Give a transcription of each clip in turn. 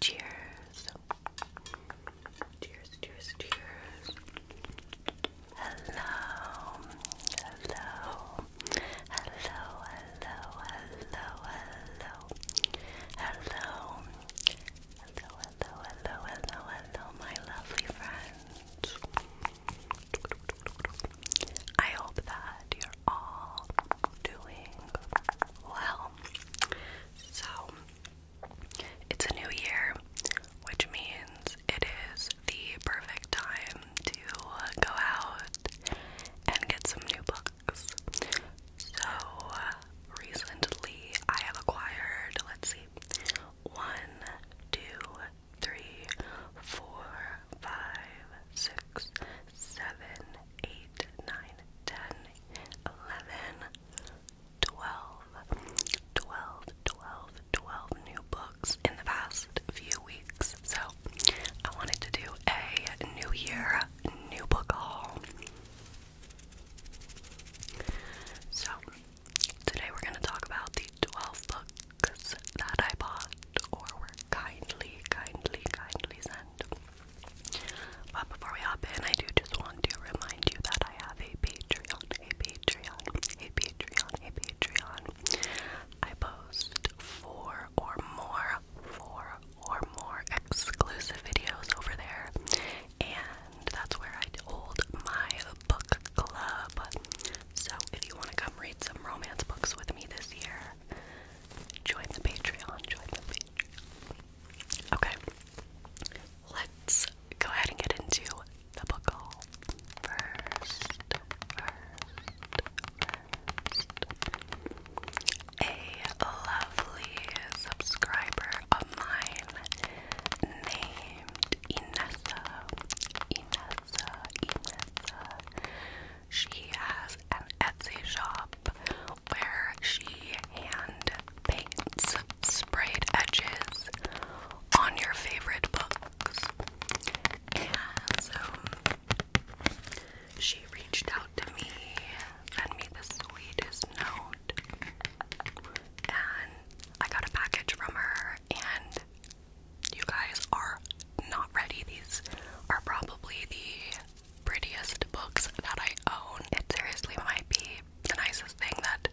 Cheers. Cheers, cheers, cheers. Hello. Hello. Hello, hello, hello, hello. Hello. Hello, hello, my lovely friends. I hope that you're all doing well. So, it's a new year, which means it is the perfect time to go out and get some new books. So, recently I have acquired, let's see, one, two, three, four, five, six, seven, eight, nine, ten, eleven, twelve, twelve, twelve, twelve new books in the past few weeks. So I wanted to do a new year, new book haul. So Today we're going to talk about the 12 books that I bought or were kindly, kindly, kindly sent. But before we hop in, I do just want to remind you that I have a Patreon, a Patreon, a Patreon, a Patreon. I post four or more, four or more exclusive videos over there. And that's where I hold my book club. So if you want to come read some romance books with me this year, join the Patreon. Join the Patreon. Okay, let's go ahead and get into the book haul first. A lovely subscriber of mine named Inessa, Inessa, Inessa. She has an Etsy shop where she hand paints sprayed edges on your favorite books. And so um, she reached out to me, sent me the sweetest note, and I got a package from her and you guys are not ready. These are probably the prettiest books that I own. It seriously might be the nicest thing that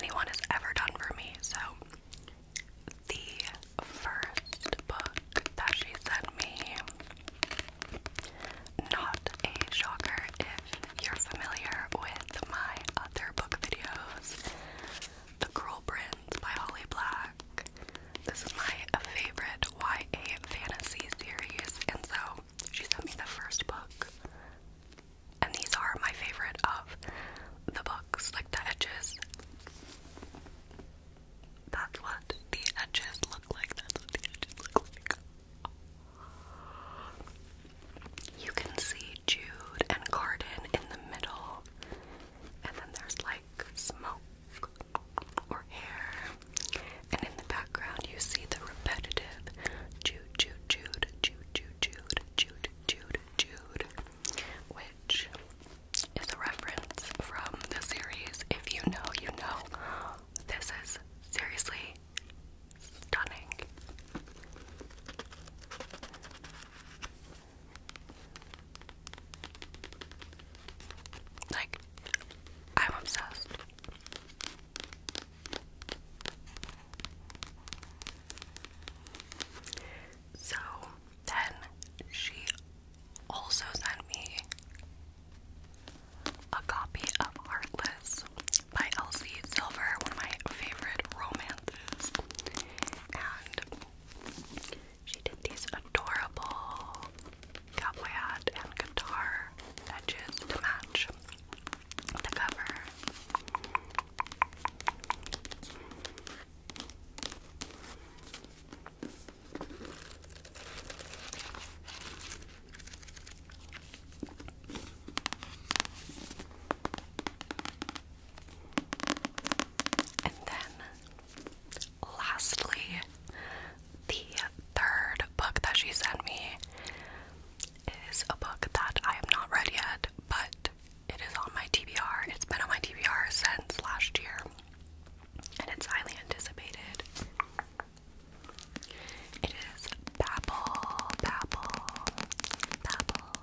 anyone has ever done for me. So, the first book that she sent me, not a shocker if you're familiar with my other book videos, The Girl Prince by Holly Black. This is my favorite YA fantasy series, and so she sent me the first book. And these are my favorite of the books, like the edges. That's what the edges look like. That's what the edges look like. You can see Jude and garden in the middle, and then there's like smoke or hair, and in the background you see the repetitive Jude, Jude, Jude, Jude, Jude, Jude, Jude, Jude, Jude, which is a reference from the series. If you know, you know. This is seriously Stunning. Like, I'm obsessed. So then she also sent me a copy of Heartless, by Elsie Silver, one of my favorite romances. And she did these adorable cowboy hat and guitar edges to match the cover. And then, lastly, the third book that she sent me is a book that I have not read yet, but it is on my TBR. It's been on my TBR since last year, and it's highly anticipated. It is Babble, Babble, Babble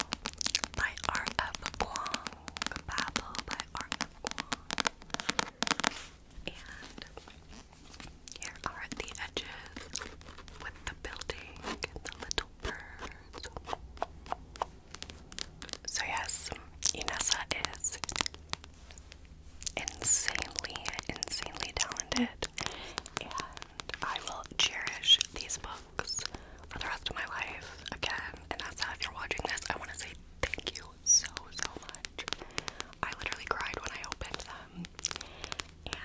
by Art of Kwong. Babble by Art of Kwong. And here are the edges with the building and the little birds. So, yes, Inessa is insanely, insanely talented, and I will cherish these books for the rest of my life again. And that's how if you're watching this, I want to say thank you so, so much. I literally cried when I opened them. And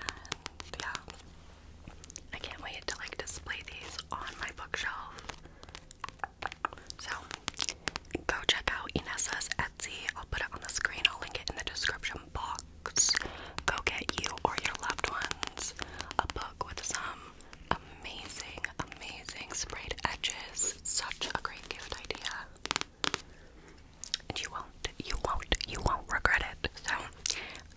yeah, I can't wait to like display these on my bookshelf. So go check out Inessa's Etsy. I'll put it on the screen. I'll link it in the description box. Go get you or your loved ones a book with some amazing, amazing sprayed edges. Such a great gift idea. And you won't, you won't, you won't regret it. So,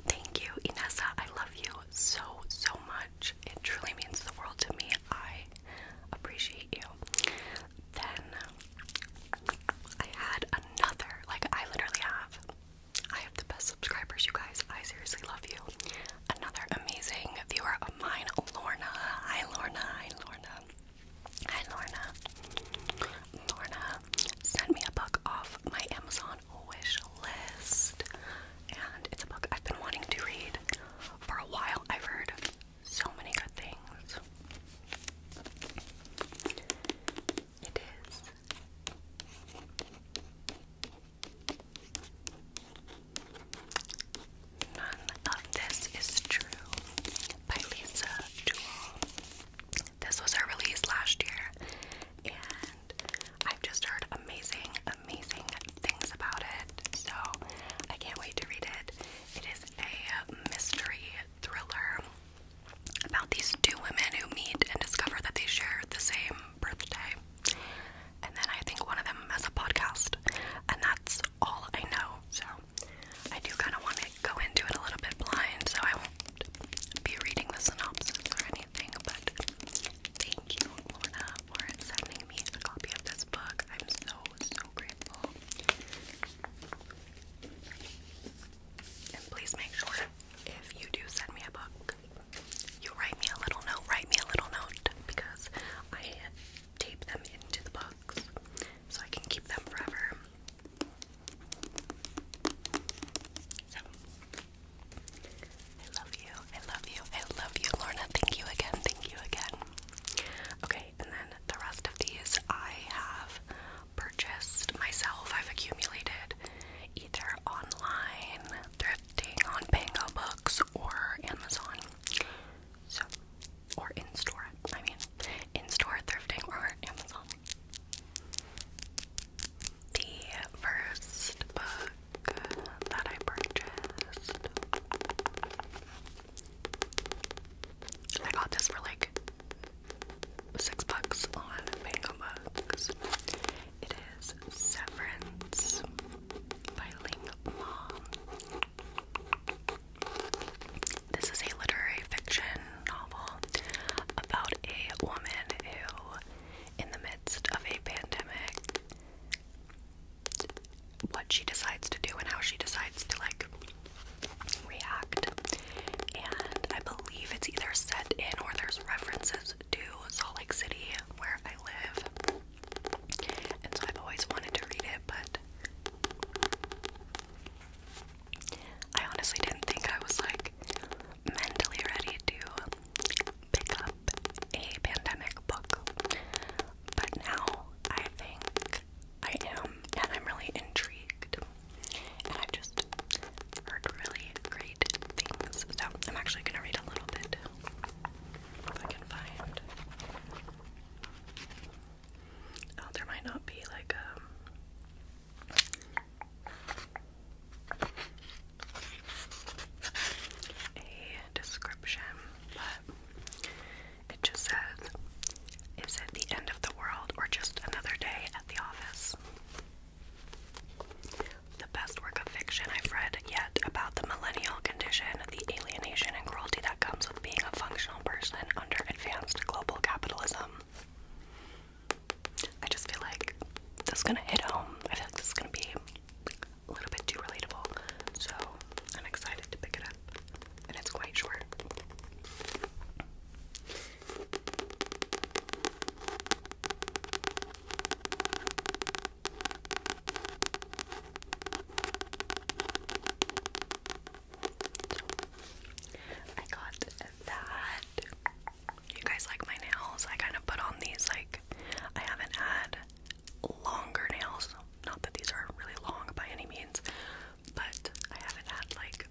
thank you, Inessa. I love you so, so much. It truly means the world to me. I appreciate you. Then, I had another, like, I literally have, I have the best subscribers, you guys. I seriously love you. Another amazing viewer of mine, Lorna. Hi, Lorna. Hi, Lorna. Hi, Lorna. Lorna sent me a book off my Amazon wish list, and it's a book I've been wanting to read for a while. I've heard so many good things. It is. None of This Is True by Lisa Jewell. This was her release last year, and i just heard amazing, amazing things about it. So I can't wait to read it. It is a mystery thriller about these two women who meet and discover that they share the same birthday. And then I think one of them has a podcast. And that's all I know. So I do kind of want to go into it a little bit blind, so I won't be reading the synopsis or anything, but thank you, Lorna, for sending me a copy of this book. I'm so, so grateful please make sure if you do send me a book, you write me a little note, write me a little note because I tape them into the box so I can keep them forever. So, I love you, I love you, I love you, Lorna. Thank you again, thank you again. Okay, and then the rest of these I have purchased myself. I've accumulated either online, thrifting on Pango Books, or Amazon. So, or in store. I mean, in store thrifting or Amazon. The first book that I purchased I got this for like six bucks on Mango It is Severance by Ling Mom. This is a literary fiction novel about a woman who, in the midst of a pandemic, what she decides to do and how she decides to like React, and I believe it's either set in or there's references to Salt Lake City where I live. And so I've always wanted to read it, but I honestly didn't think I was like mentally ready to pick up a pandemic book. But now I think I am, and I'm really intrigued. And I've just heard really great things. So I'm actually gonna read a little bit if I can find. Oh, there might not be like um, A description, but it just says, Is it the end of the world or just another day at the office? The best work of fiction I've read yet about the millennial condition, the alienation and cruelty that comes with being a functional person under advanced global capitalism. I just feel like this is gonna hit home. I feel like this is gonna be a little bit too relatable, so I'm excited to pick it up and it's quite short. I got that. You guys like my nails? I kind of put on these like I haven't had longer nails. Not that these are really long by any means, but I haven't had like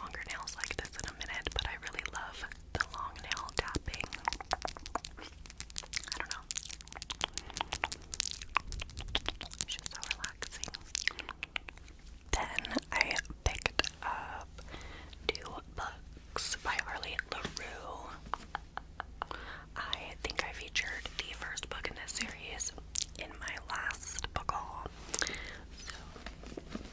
longer nails like this in a minute, but I really love the long nail tapping. I don't know. It's just so relaxing. Then I picked up two books by Harley LaRue. I think I featured the first book in this series in my last book haul. So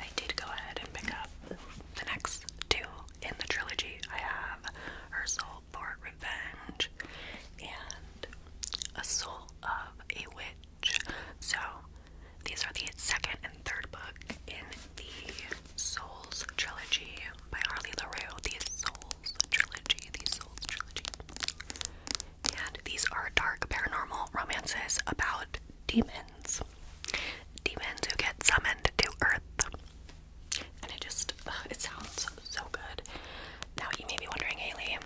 I did go ahead and pick up the next two in the trilogy. I have Her Soul for Revenge and A Soul of a Witch. So these are the second and third book in the Souls trilogy by Harley LaRue, the Souls Trilogy, the Souls Trilogy. And these are dark paranormal romances about demons. Demons who get summoned to Earth. And it just, it sounds so good. Now, you may be wondering, Haley,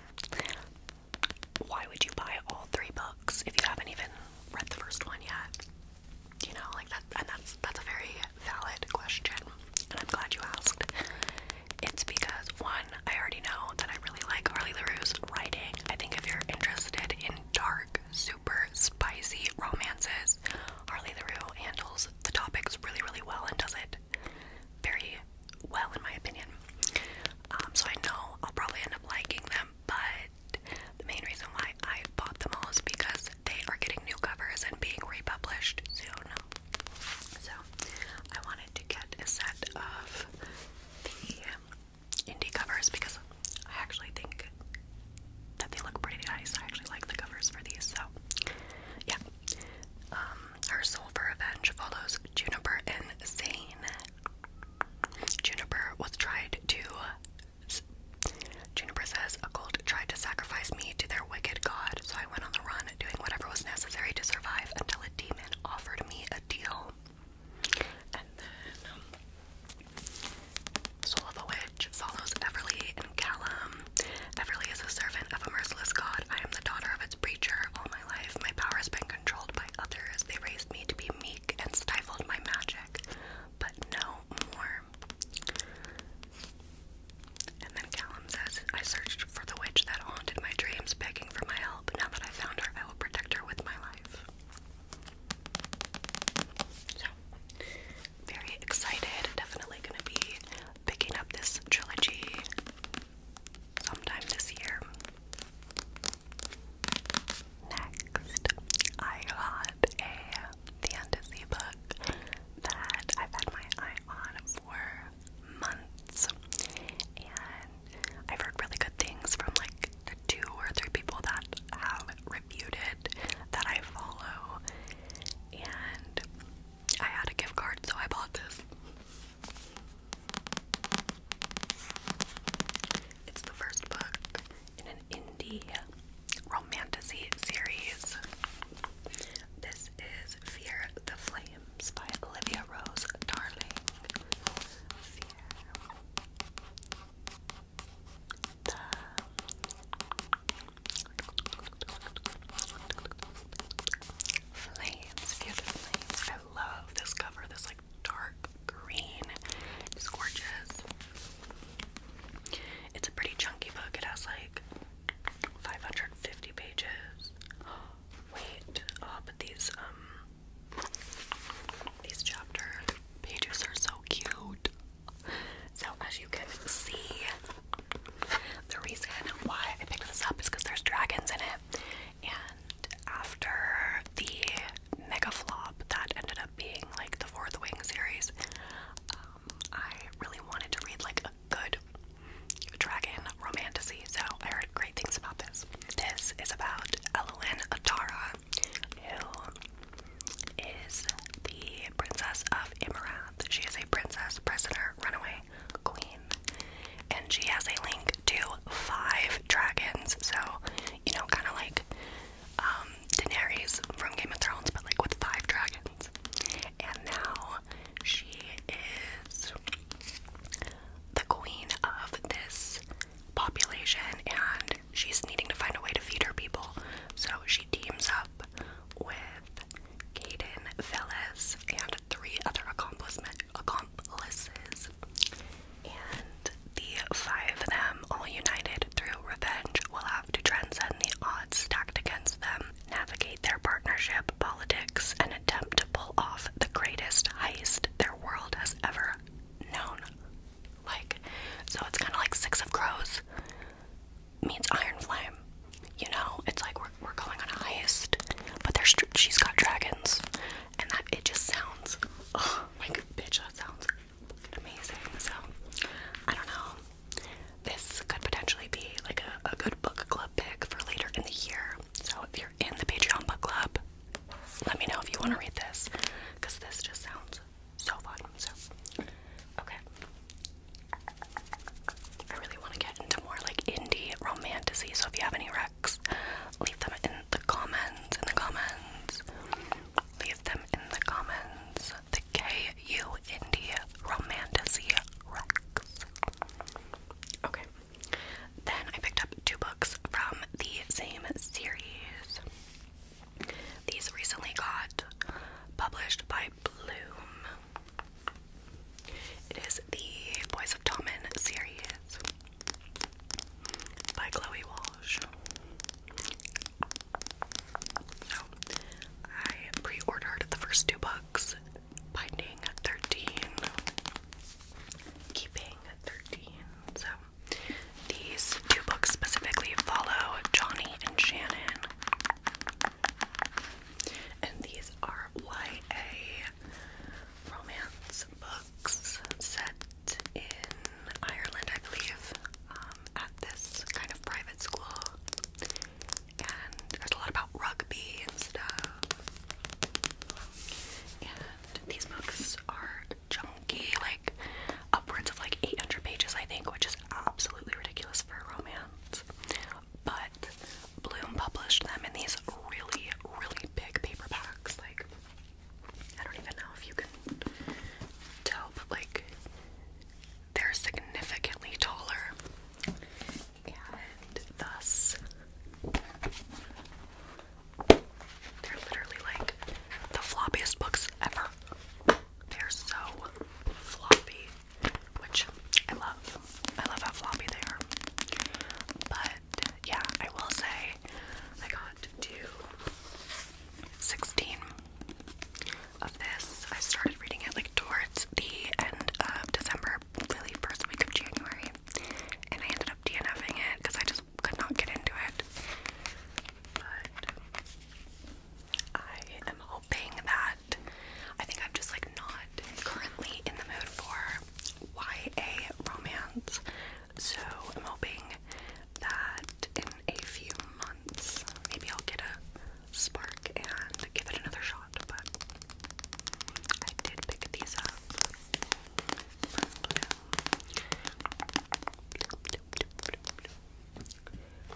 why would you buy all three books if you haven't even read the first one yet? You know, like that, and that's that's a very valid question, and I'm glad you asked it's because one, I already know that I really like Harley LaRue's writing. I think if you're interested in dark, super spicy romances, Harley LaRue handles the topics really, really well and does it very well, in my opinion. Um, so I know I'll probably end up liking them, but the main reason why I bought them all is because they are getting new covers and being republished know. So I wanted to get a set of the indie covers because I actually think that they look pretty nice. I actually like the covers for these, so yeah. her um, soul for revenge follows Juniper and Zane. Juniper was tried to. Juniper says a cult tried to sacrifice me to their wicked god, so I went on the run doing whatever was necessary to survive until a demon offered me a deal. Um, Soul of a Witch follows Everly and Callum. Everly is a servant of a merciless god. I am the daughter of its preacher. All my life, my power has been controlled by others. They raised me to be meek and stifled my magic, but no more. And then Callum says, I searched for the witch that haunted my dreams, begging for my help. Now that I found her, I will protect her with my life. So, very excited. Definitely gonna be picking up this trilogy sometime this year. Next, I got a the fantasy book that I've had my eye on for months. And I've heard really good things from like two or three people that have reviewed it that I follow. And I had a gift card, so I bought this. It's the first book in an indie romantasy series. This is Fear the Flames by Olivia Rose Darling. Flames, Flames. I love this cover, this like dark green. It's gorgeous. It's a pretty chunky book. It has like 550 pages. Wait, oh, but these, um, these chapter pages are so cute. So, as you can see, the reason why I picked this up is because there's dragons in it. And after the mega flop that ended up being like the Fourth Wing series, um, I really wanted to read like a good dragon romantasy, so I heard great things about this. This is about Elwyn Atara, who is the princess of Imarath. She is a princess, prisoner, runaway queen, and she has a link to five dragons. So, you know, kind of like um, Daenerys from Game of Thrones, but like with five dragons. And now she is the queen of this population, and she's needing to find a way to feed her people. So she teams up with Kaden Phyllis and three other accomplices. And the five of them all united through revenge will have to transcend the odds stacked against them, navigate their partnership politics, and attempt to pull off the greatest heist their world has ever known. Like, so it's kind of like Six of Crows means Iron Flame. You know, it's like we're, we're going on a heist, but there's she's got dragons, and that it just sounds. Oh, like bitch, that sounds amazing. So I don't know. This could potentially be like a, good book club pick for later in the year. So if you're in the Patreon book club, let me know if you want to read this because this just sounds so fun. So, okay. I really want to get into more like indie romanticy. So if you have any recs, leave them in the comments. In the comments leave them in the comments. The KU India Romantasy Rex. Okay. Then I picked up two books from the same series. These recently got published by Bloom. It is the Boys of Tommen series by Chloe Walsh. So I pre-ordered the first two books, Binding 13, Keeping 13. So these two books specifically follow Johnny and Shannon. And these are YA romance books set in Ireland, I believe um, at this kind of private school, and there's a lot about rugby and stuff. And these books are chunky, like upwards of like 800 pages, I think, which is absolutely ridiculous for a romance. But Bloom published them in these really, really big paperbacks. Like, I don't even know if you can tell, but like, they're significantly taller and thus they're literally like the floppiest books ever. They're so floppy, which I love. I love how floppy they are. But yeah, I will say I got to 16 of this. I started reading it like towards the end of December, really first week of January, and I ended up DNFing it because I just could not get into it. But I am hoping that I think I'm just like not currently in the mood for YA romance, so I'm hoping that in a few months. Maybe I'll get a spark and give it another shot, but I did pick these up.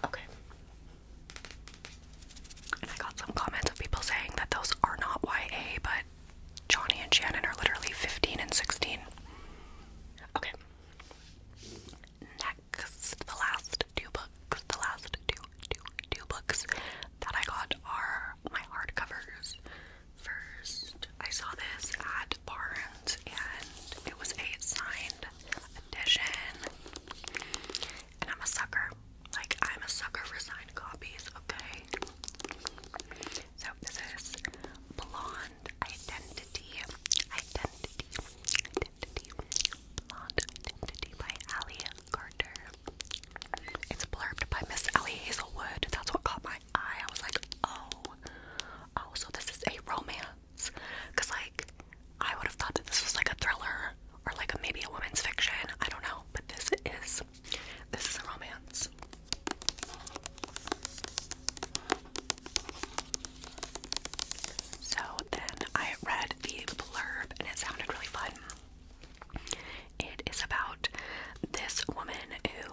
Okay. I got some comments of people saying that those are not YA, but Johnny and Shannon are literally 15 and 16. Okay the last two books, the last two, two, two books that I got are my hardcovers. First, I saw this at Barnes and it was a signed edition. And I'm a sucker. Like, I'm a sucker for signed copies, okay? So, this is Blonde Identity, Identity, Identity, by Allie Carter. It's blurbed by Miss Allie Hazelwood. That's what caught my eye. I was like, oh, oh, so this is a romance. Cause like, I would have thought that this was like a thriller or like maybe a woman's fiction. I don't know, but this is, this is a romance. So then I read the blurb and it sounded really fun. It is about this woman who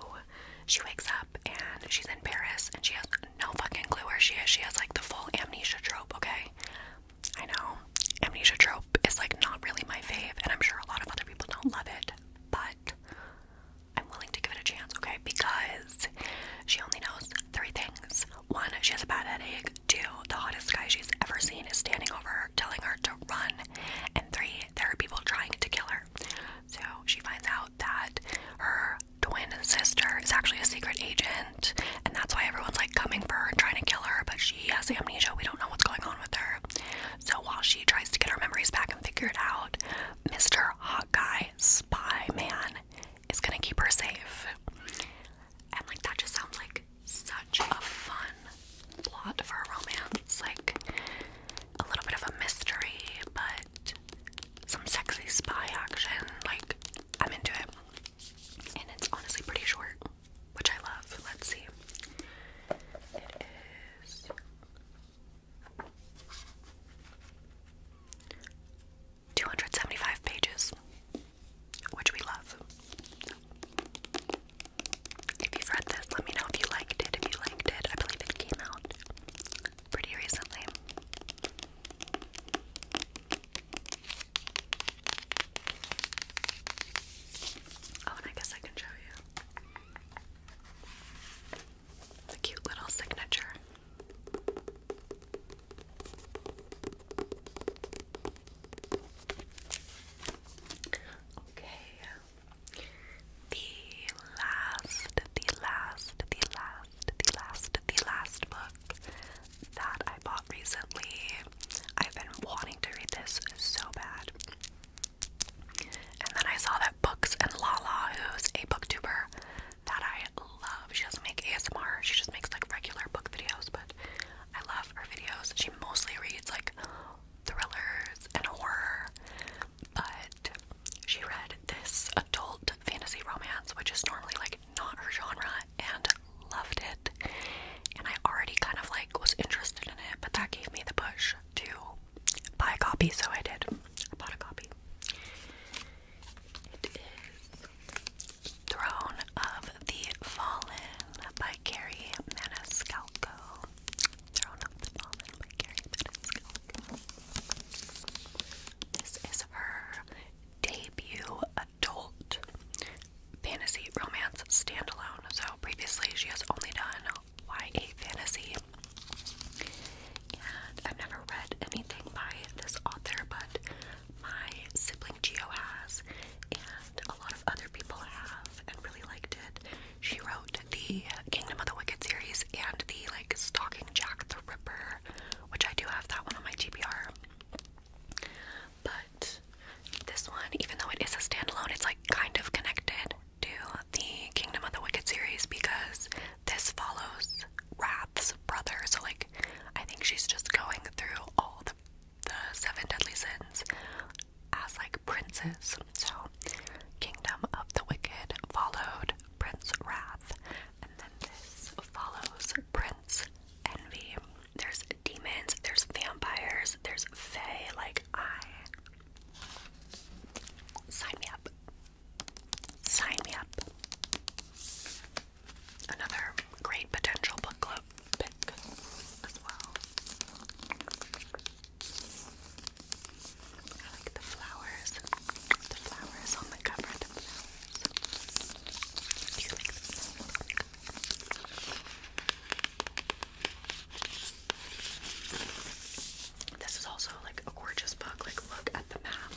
she wakes up and she's in Paris and she has no fucking clue where she is. She has like the full amnesia trope, okay? I know amnesia trope is like not really my fave, and I'm sure a lot of other people don't love it, but I'm willing to give it a chance, okay? Because she only knows three things. One, she has a bad headache. Two, the hottest guy she's ever seen is standing over her, telling her to run. And three, there are people trying to kill her. So she finds out that her twin sister is actually a secret agent, and that's why everyone's like coming for her and trying to kill her, but she has amnesia. We don't know what's going on with her. So while she tries to get her memories back and figure it out, Mr. Hot Guy spy man is gonna keep her safe. And like that just sounds like such a fun plot for a romance. Like a little bit of a mystery, but some sexy spy action. Like I'm into it. And it's honestly pretty short, which I love. Let's see. 275 pages, which we love. If you've read this, let me know if you liked it. If you liked it, I believe it came out pretty recently. Oh, and I guess I can show you a cute little signature. Okay. The last, the last, the last, the last, the last book that I bought recently. I've been wanting to read this so bad. And then I saw that Books and Lala, who's a booktuber that I love. She doesn't make ASMR, she just makes like regular book videos, but I love her videos. She mostly reads like thrillers and horror, but she read this adult fantasy romance, which is normally like not her genre, and loved it. And I already kind of like was interested in it, but that gave me the push to buy a copy, so I did. I bought a copy. It is Throne of the Fallen by Carrie Maniscalco. Throne of the Fallen by Carrie Maniscalco. This is her debut adult fantasy romance standalone. So previously she has only done YA fantasy. And I've never read anything by this author, but my sibling Geo has, and a lot of other people have, and really liked it. She wrote the Kingdom of the Wicked series and the like Stalking Jack the Ripper, which I do have that one on my TBR. But this one, even though it is a standalone, it's like kind of connected do the Kingdom of the Wicked series because this follows Wrath's brother. So, like, I think she's just going through all the, the seven deadly sins as like princes. So, Kingdom of the Wicked followed Prince Wrath, and then this follows Prince Envy. There's demons, there's vampires, there's fae. Like, I Sign me up. Sign me up. Another great potential book club pick as well. I like the flowers. The flowers on the cover. The Do you like the flowers this is also like a gorgeous book. Like, look at the map.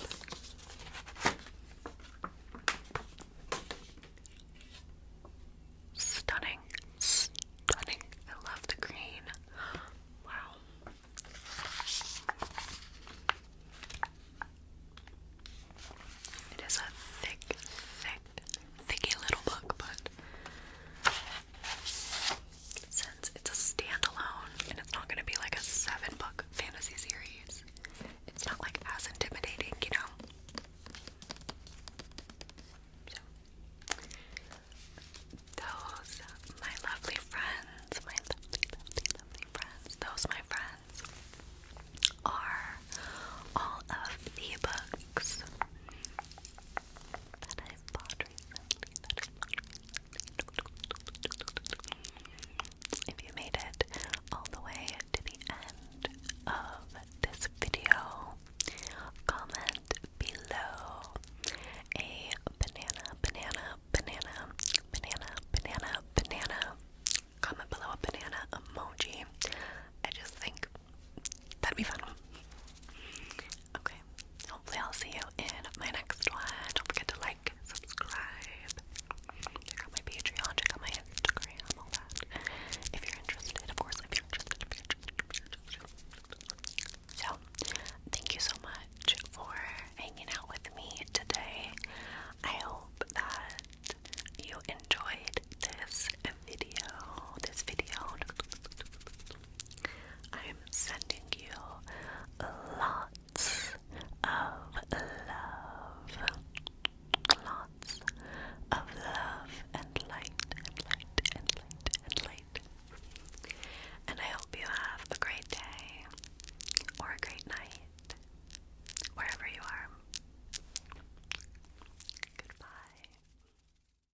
Stunning. Stunning. I love the green. Wow. It is a thick, thick, thicky little book, but since it's a standalone and it's not going to be like a seven book fantasy series, it's not like as intimidating, you know? those, my lovely friends, my lovely friends, those, my friends, are all of the books if you made it all the way to the end of this video, comment below a banana, banana, banana, banana, banana, banana. Comment below a banana emoji. I just think that'd be fun. Okay, hopefully, I'll see you in my next one. Don't forget to like, subscribe, check out my Patreon, check out my Instagram, all that. If you're interested, of course, if you're interested, So, thank you so much for hanging out with me today. I hope that you enjoyed this video. This video. I'm sending you lots of love. Lots of love and light and light and light and light. And I hope you have a great day or a great night wherever you are. Goodbye.